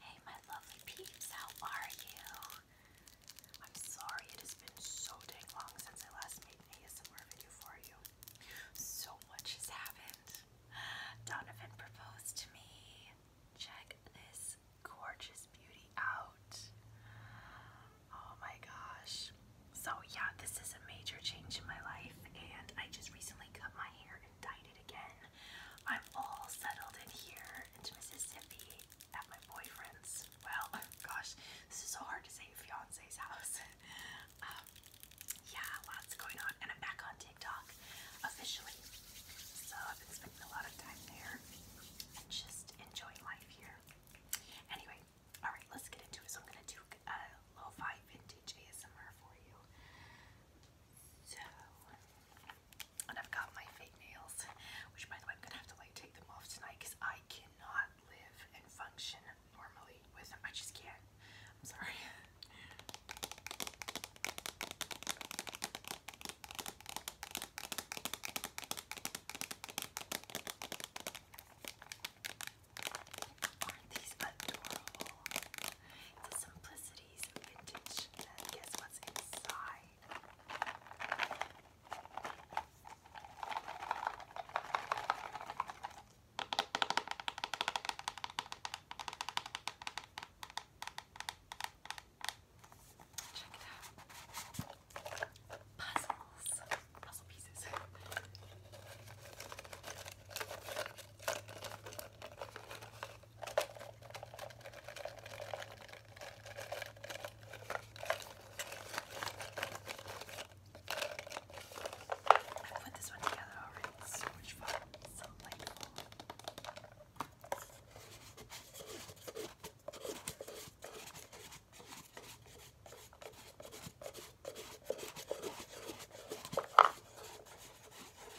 Hey, my lovely peeps, how are you? I'm sorry it has been so dang long since I last made an ASMR video for you. So much has happened. Donovan proposed to me. Check this gorgeous beauty out. Oh my gosh. So, yeah, this is a major change in my life, and I just recently cut my hair indicted again. I'm all settled in here into Mississippi at my boyfriend's. Well, gosh, this is so hard to say fiance's house. Um, yeah, lots going on, and I'm back on TikTok officially. So I've been spending a lot of time there and just enjoying life here. Anyway, all right, let's get into it. So I'm gonna do a lo-fi vintage ASMR for you and I've got my fake nails, which by the way, I'm gonna have to like take them off tonight because I cannot live and function normally with them. I just can't. I'm sorry. Aren't these adorable? The simplicity 90s vintage. guess what's inside? Check it out. Puzzles. Puzzle pieces. I put this one together already. It's so much fun. It's so delightful. I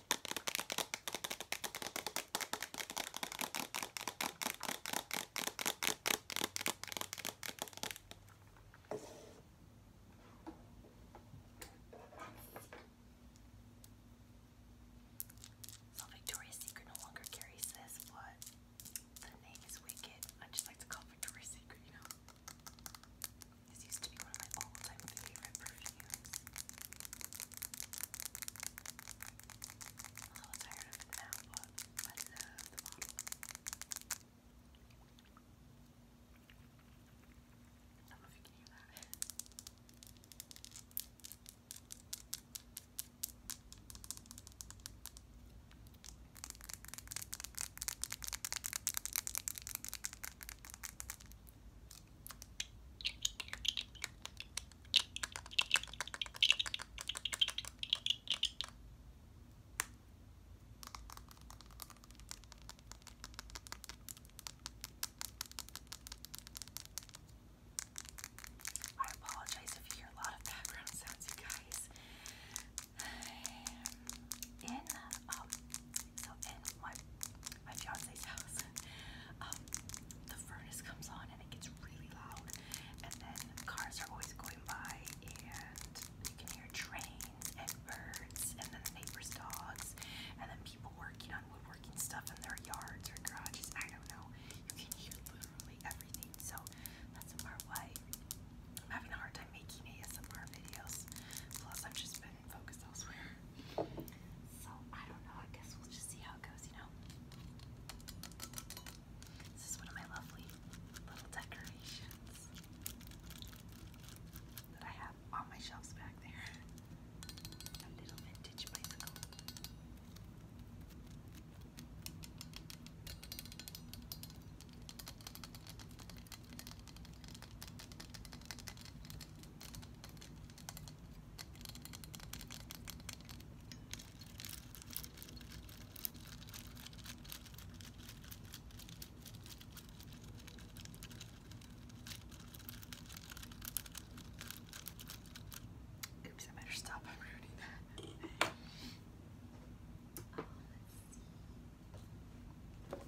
So Victoria's Secret no longer carries this, but the name is Wicked. I just like to call Victoria's Secret, you know. This used to be one of my all-time favorite perfumes hands. I'm a little tired of it now, but I I don't know if you can hear that. I apologize if you hear a lot of background sounds, you guys. In um, so in my my fiance's house. Um, the furnace comes on and it gets really loud, and then cars are always going by, and you can hear trains and birds, and then the neighbors' dogs, and then people working on woodworking stuff in their yards or garages. I don't know. You can hear literally everything. So that's in part why I'm having a hard time making ASMR videos. Plus, I've just been focused elsewhere. So I don't know. I guess we'll just see how it goes, you know. This is one of my lovely little decorations that I have on my shelves back there. A little vintage bicycle. Oops, I better stop. I'm ruining that. oh, let's see.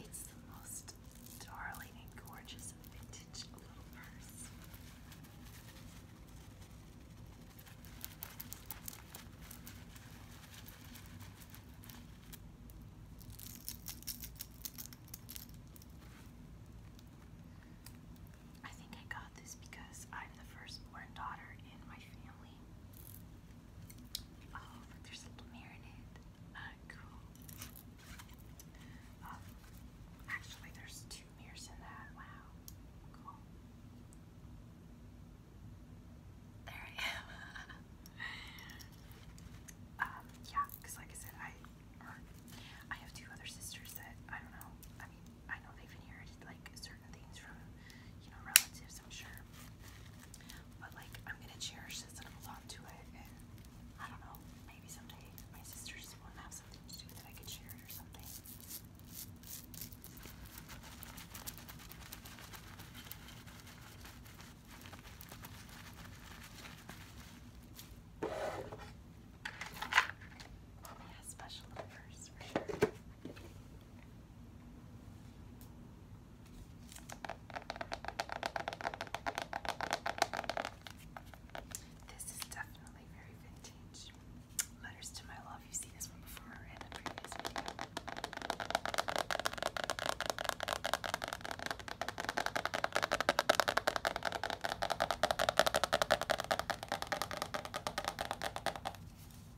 It's the most darling and gorgeous vintage little purse. I think I got this because I'm the firstborn daughter in my family. Oh, but there's a little mirror in it. Ah, cool. Um, actually, there's two mirrors in that. Wow. Cool. There I am. um, yeah, because like I said, I er, I have two other sisters that I don't know. I mean, I know they've inherited like certain things from, you know, relatives, I'm sure. But like, I'm gonna cherish this and hold on to it. And I don't know, maybe someday my sisters will have something to do that I could share it or something. It has special numbers for sure. This is definitely very vintage. Letters to my love. You've seen this one before in the previous video.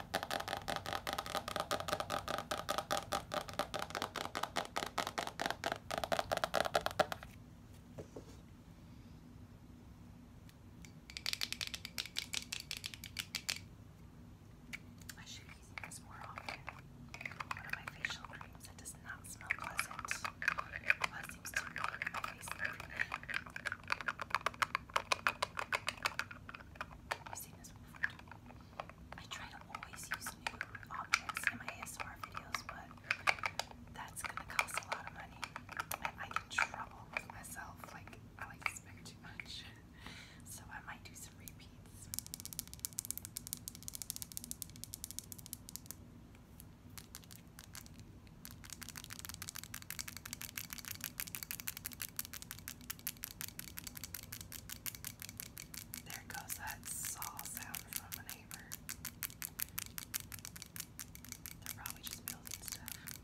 I should be using this more often. One of my facial creams that does not smell pleasant. Well, it seems to make my face every day. I've seen try to always use new objects in my ASMR videos, but that's gonna cost a lot of money. And I get in trouble with myself. Like I like to spend too much. so I might do some repeats. There goes that saw sound from a neighbor. They're probably just building stuff.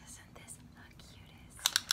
Isn't this the cutest?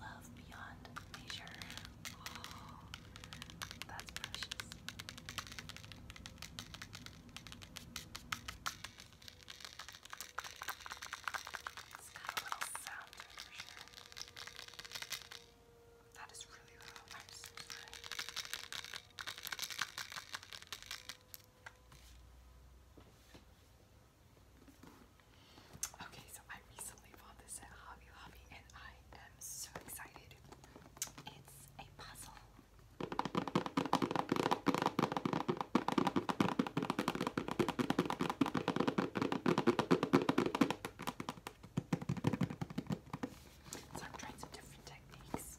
love beyond measure. Oh, that's precious. It's got a sound for sure. That is really loud. I'm so sorry. Okay, so I recently bought this at Hobby Lobby and I am so excited. It's a puzzle. So I'm trying some different techniques.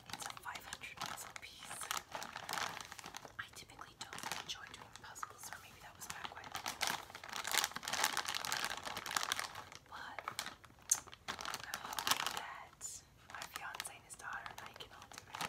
It's a 500 pencil piece. I typically don't enjoy doing puzzles, or maybe that was backward. But I'm that my fiance and his daughter and I can all do it.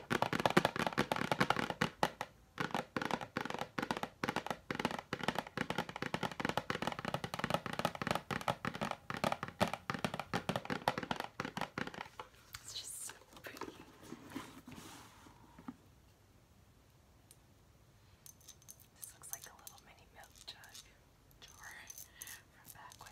It's just so pretty. This looks like a little mini milk jug jar from back when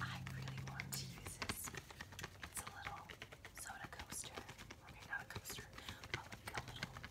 I really want to use this. It's a little soda coaster. I mean, not a coaster, but like a little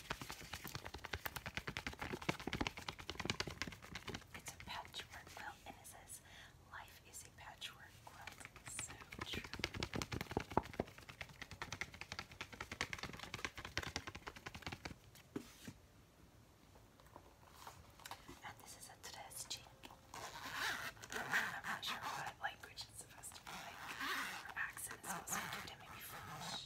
It's a patchwork quilt, and it says, Life is a patchwork quilt. So true. And this is a tres I'm not sure what language it's supposed to be like, accent it's supposed maybe French.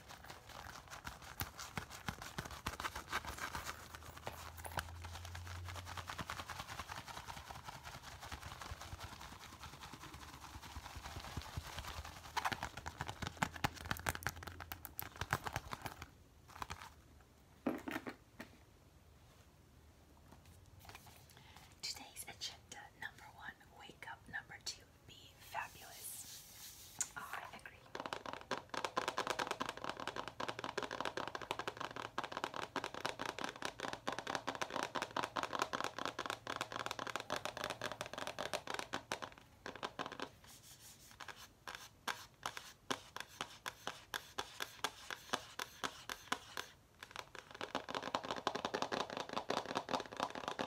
Today's agenda number one, wake up. Number two, be fabulous. Ah, I agree.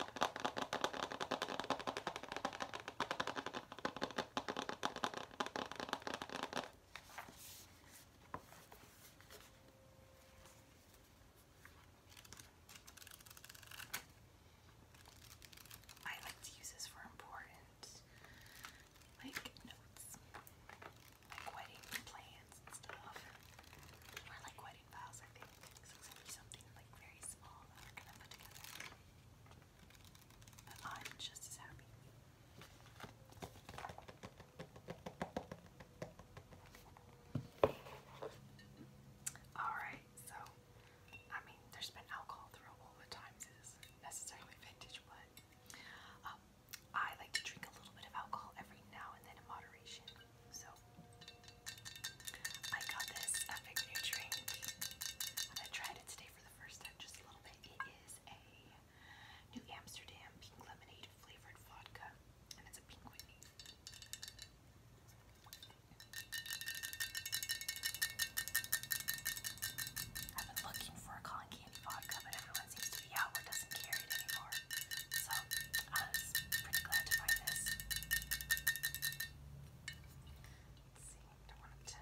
I like to use this for important like notes. Like wedding plans and stuff exciting files, Alright, so I mean there's been alcohol throughout all the times it necessarily vintage, but um, I like to drink a little bit of alcohol every now and then in moderation. So I got this epic new drink. I tried it today for the first time just a little bit. It is a New Amsterdam pink lemonade flavored vodka. And it's a pink Whitney. I've been looking for a cotton candy vodka, but everyone seems to be out or doesn't carry it anymore store. So I was pretty glad to buy this. Let's see, I don't want to. Okay,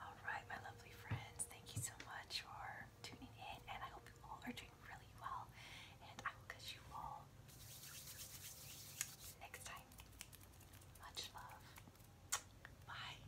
All right, my lovely friends, thank you so much for tuning in, and I hope you all are doing really well. And I will catch you all next time. Much love. Bye.